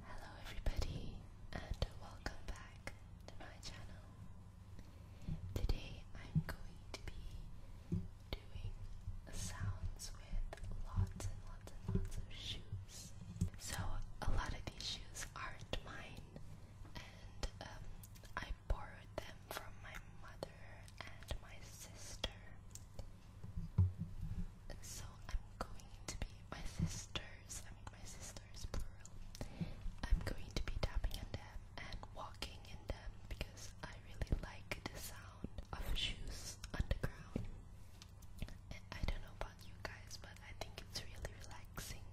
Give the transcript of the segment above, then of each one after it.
Hello everybody and welcome back to my channel. Today I'm going to be doing sounds with lots and lots and lots of shoes. So a lot of these shoes aren't mine and um, I borrowed them from my mother and my sister. So I'm going to be my sisters, I mean my sisters plural. I'm going to be tapping in them and walking in them because I really like the sound of shoes on the ground. I don't know about you guys, but I think it's really relaxing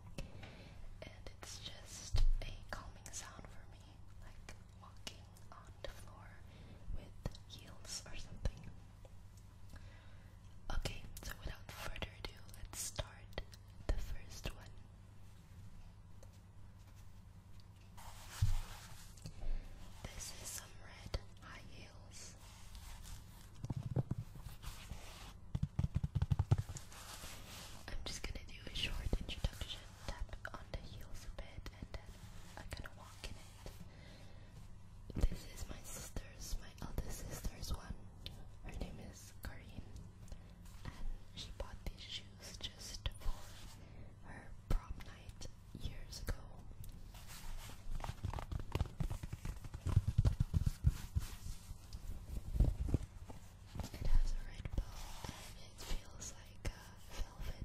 and it's just a calming sound for me like walking on the floor with heels or something. Okay, so without further ado, let's start the first one. This is some red high heels. I'm just gonna do a short introduction tap on the heels a bit and then I'm gonna walk in it. This is my sister's, my eldest sister's one. Her name is Karin and she bought these shoes just for her prom night years ago. It has a red bow and it feels like velvet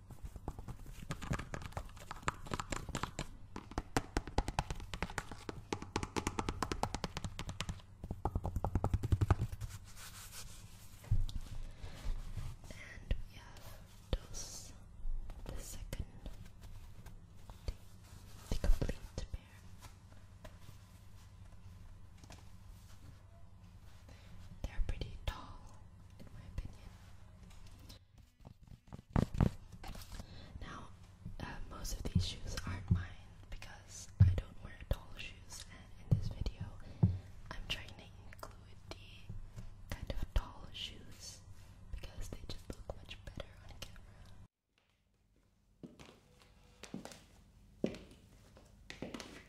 And we have dos, the second, the complete pair. They're pretty tall, in my opinion. Now, uh, most of these shoes aren't mine because I don't wear tall shoes, and in this video, I'm trying to include the kind of tall shoes because they just look much better on camera.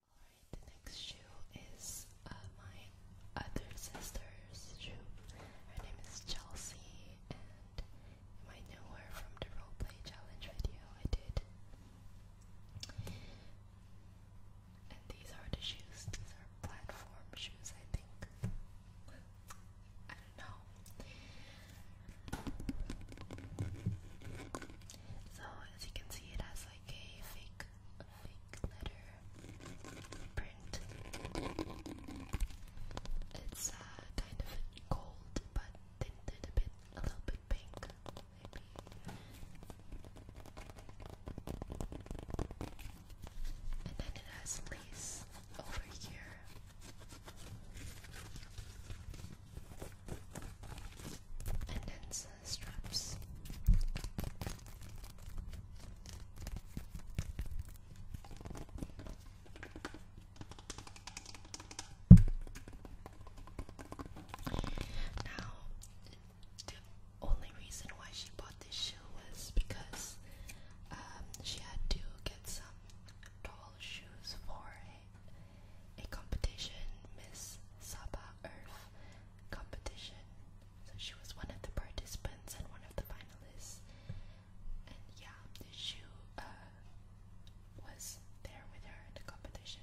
Alright, the next shoe is uh, my other sister's shoe. Her name is Chelsea, and you might know her from the roleplay challenge video I did. And these are the shoes, these are platform shoes, I think. I don't know. So, as you can see, it has like a fake fake letter print. It's uh, kind of gold, but tinted a bit, a little bit pink, maybe. And then it has lace over here and hence uh, straps. Now, the only reason why she bought this shoe was because um, she had to get some tall shoes for a, a competition Miss Saba Earth competition. So she was one of the participants and one of the finalists. And yeah, Shu uh, was there with her in the competition.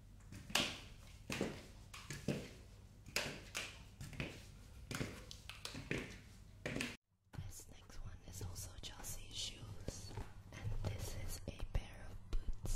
This next one is also Chelsea shoes, and this is a pair of boots.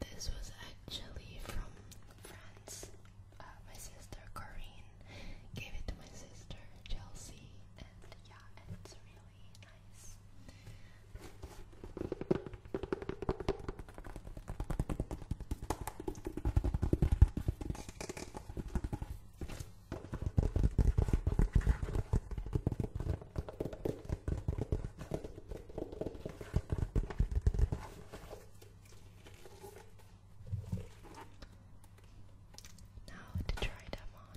This was actually from France. Uh, my sister Corinne gave it to my sister Chelsea, and yeah, it's really nice. Now to try them on.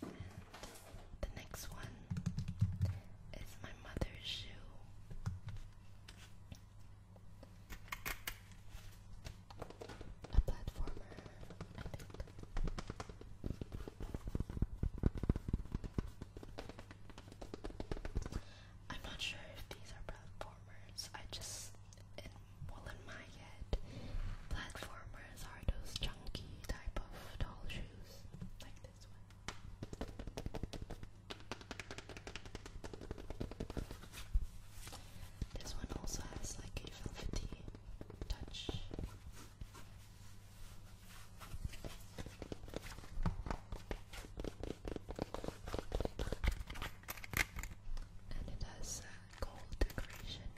The next one is my mother's shoe. A platformer, I am not sure if these are platformers. I just, in, well, in my head, platformers are those chunky type of doll shoes this one. also has like a velvety touch. And it has uh, gold decoration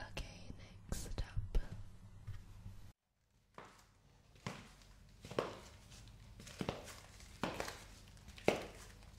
Okay, next up.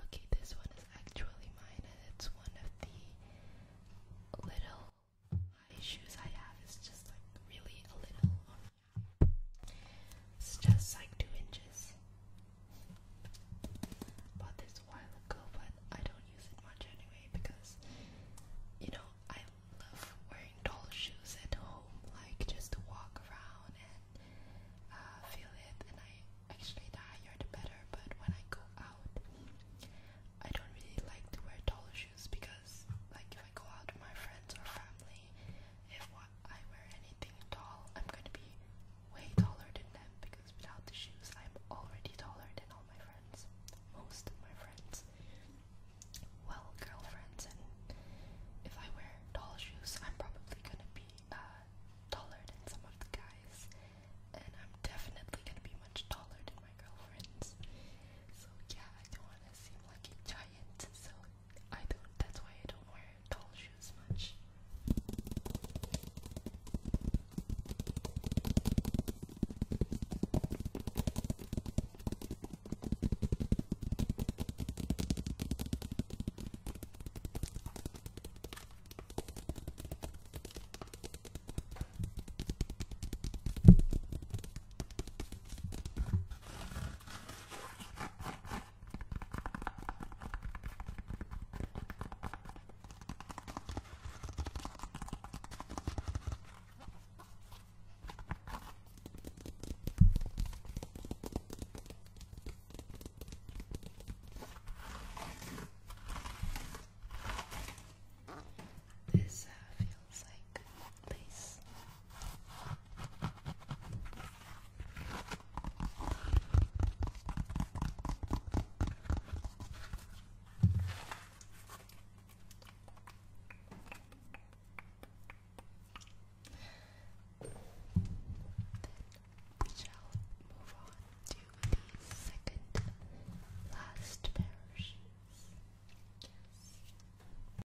Okay, this one is actually mine, and it's one of the little issues I have. It's just like really a little it's just like two inches. Bought this a while ago, but I don't use it much anyway because you know I love wearing tall shoes at home, like just to walk around and uh, feel it. And I actually the higher the better. But when I go out, I don't really like to wear tall shoes because, like, if I go out with my friends or family, if I wear anything tall, I'm gonna be way taller than them because without the shoes, I'm already taller than all my friends. Most of my friends. Well, girlfriends, and if I wear tall shoes, I'm probably gonna be uh, taller than some of the guys, and I'm definitely gonna be much taller than my girlfriends. So, yeah, I don't wanna seem like a giant, so I don't, that's why I don't wear tall shoes much. This uh, feels like please. Then we shall move on to the second last pair of shoes. Yes.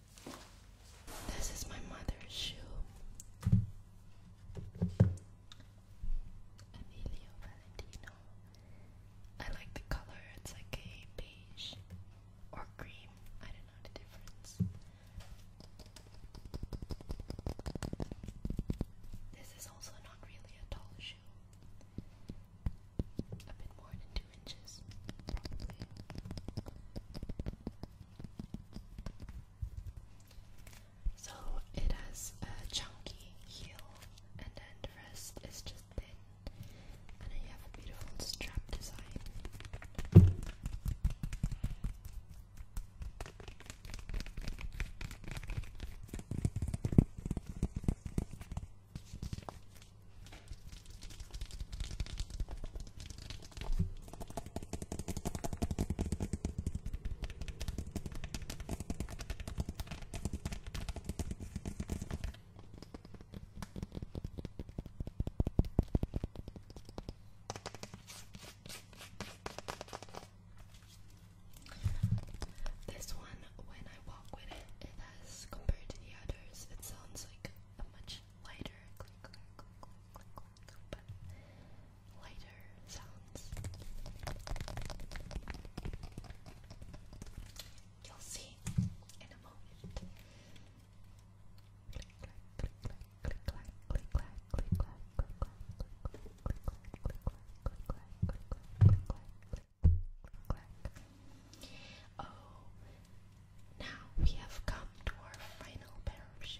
This is my mother's shoe. Emilio Valentino. I like the color, it's like a beige or cream. I don't know the difference. This is also not really a tall shoe. A bit more so it has a chunky heel, and then the rest is just thin. And then you have a beautiful strap design. This one, when I walk with it, it has compared to the others, it sounds like a much lighter click click sounds. You'll see in a moment. Oh, now we have come to our final pair of shoes.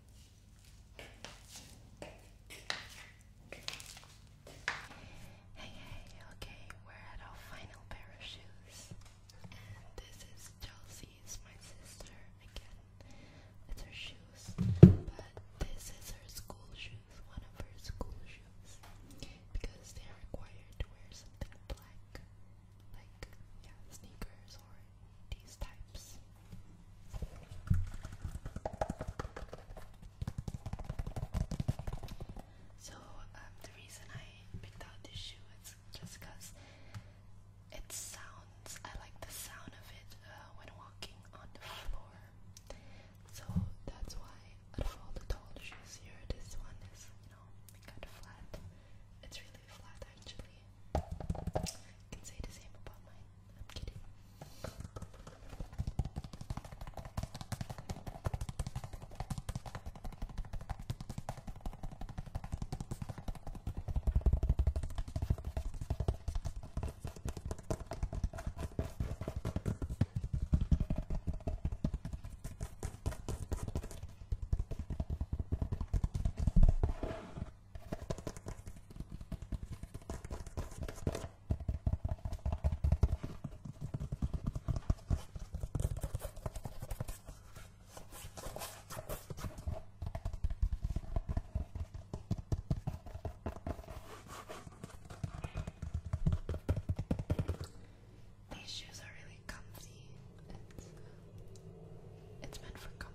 Hey, hey, okay, we're at our final pair of shoes. And this is Chelsea's, my sister, again. It's her shoes, but this is her school shoes, one of her school shoes, because they are required to wear something black, like, yeah, sneakers or these types. So um, the reason I picked out this shoe is just because it sounds. I like the sound of it uh, when walking on the floor. So that's why out of all the tall shoes here, this one is you know kind of flat. It's really flat actually. can say the same about mine. I'm kidding. These shoes are really comfy. It's, uh, it's meant for comfort.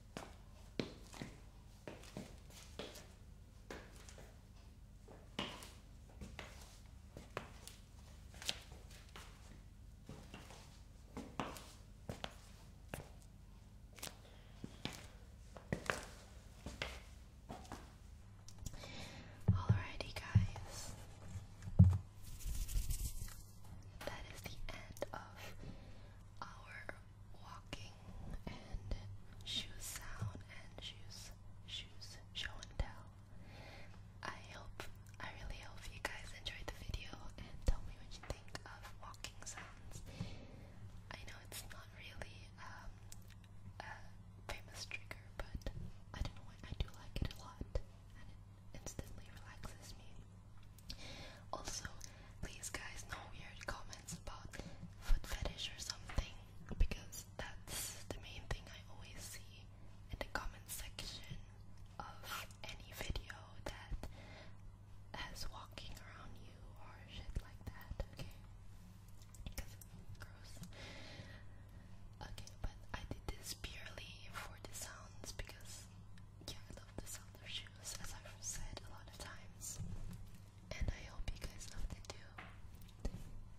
Alrighty, guys. That is the end of our walking and shoes sound and shoes, shoes, show and tell. I hope, I really hope you guys enjoyed the video and tell me what you think of walking sounds. I know it's not really um, a famous trigger, but I don't know why I do like it a lot and it instantly relaxes me. Also, please guys, no weird comments about foot fetish or something because that's the main thing I always see in the comment section of any video that has walking around you or shit like that, okay? Because it's gross. Okay, but I did this purely for the sounds because yeah, I love the sound of shoes as I've said a lot of times. And I hope you guys know do.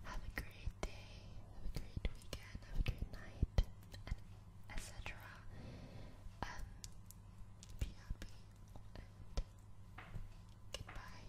Have a great day, have a great weekend, have a great night, etc. Um, be happy and goodbye.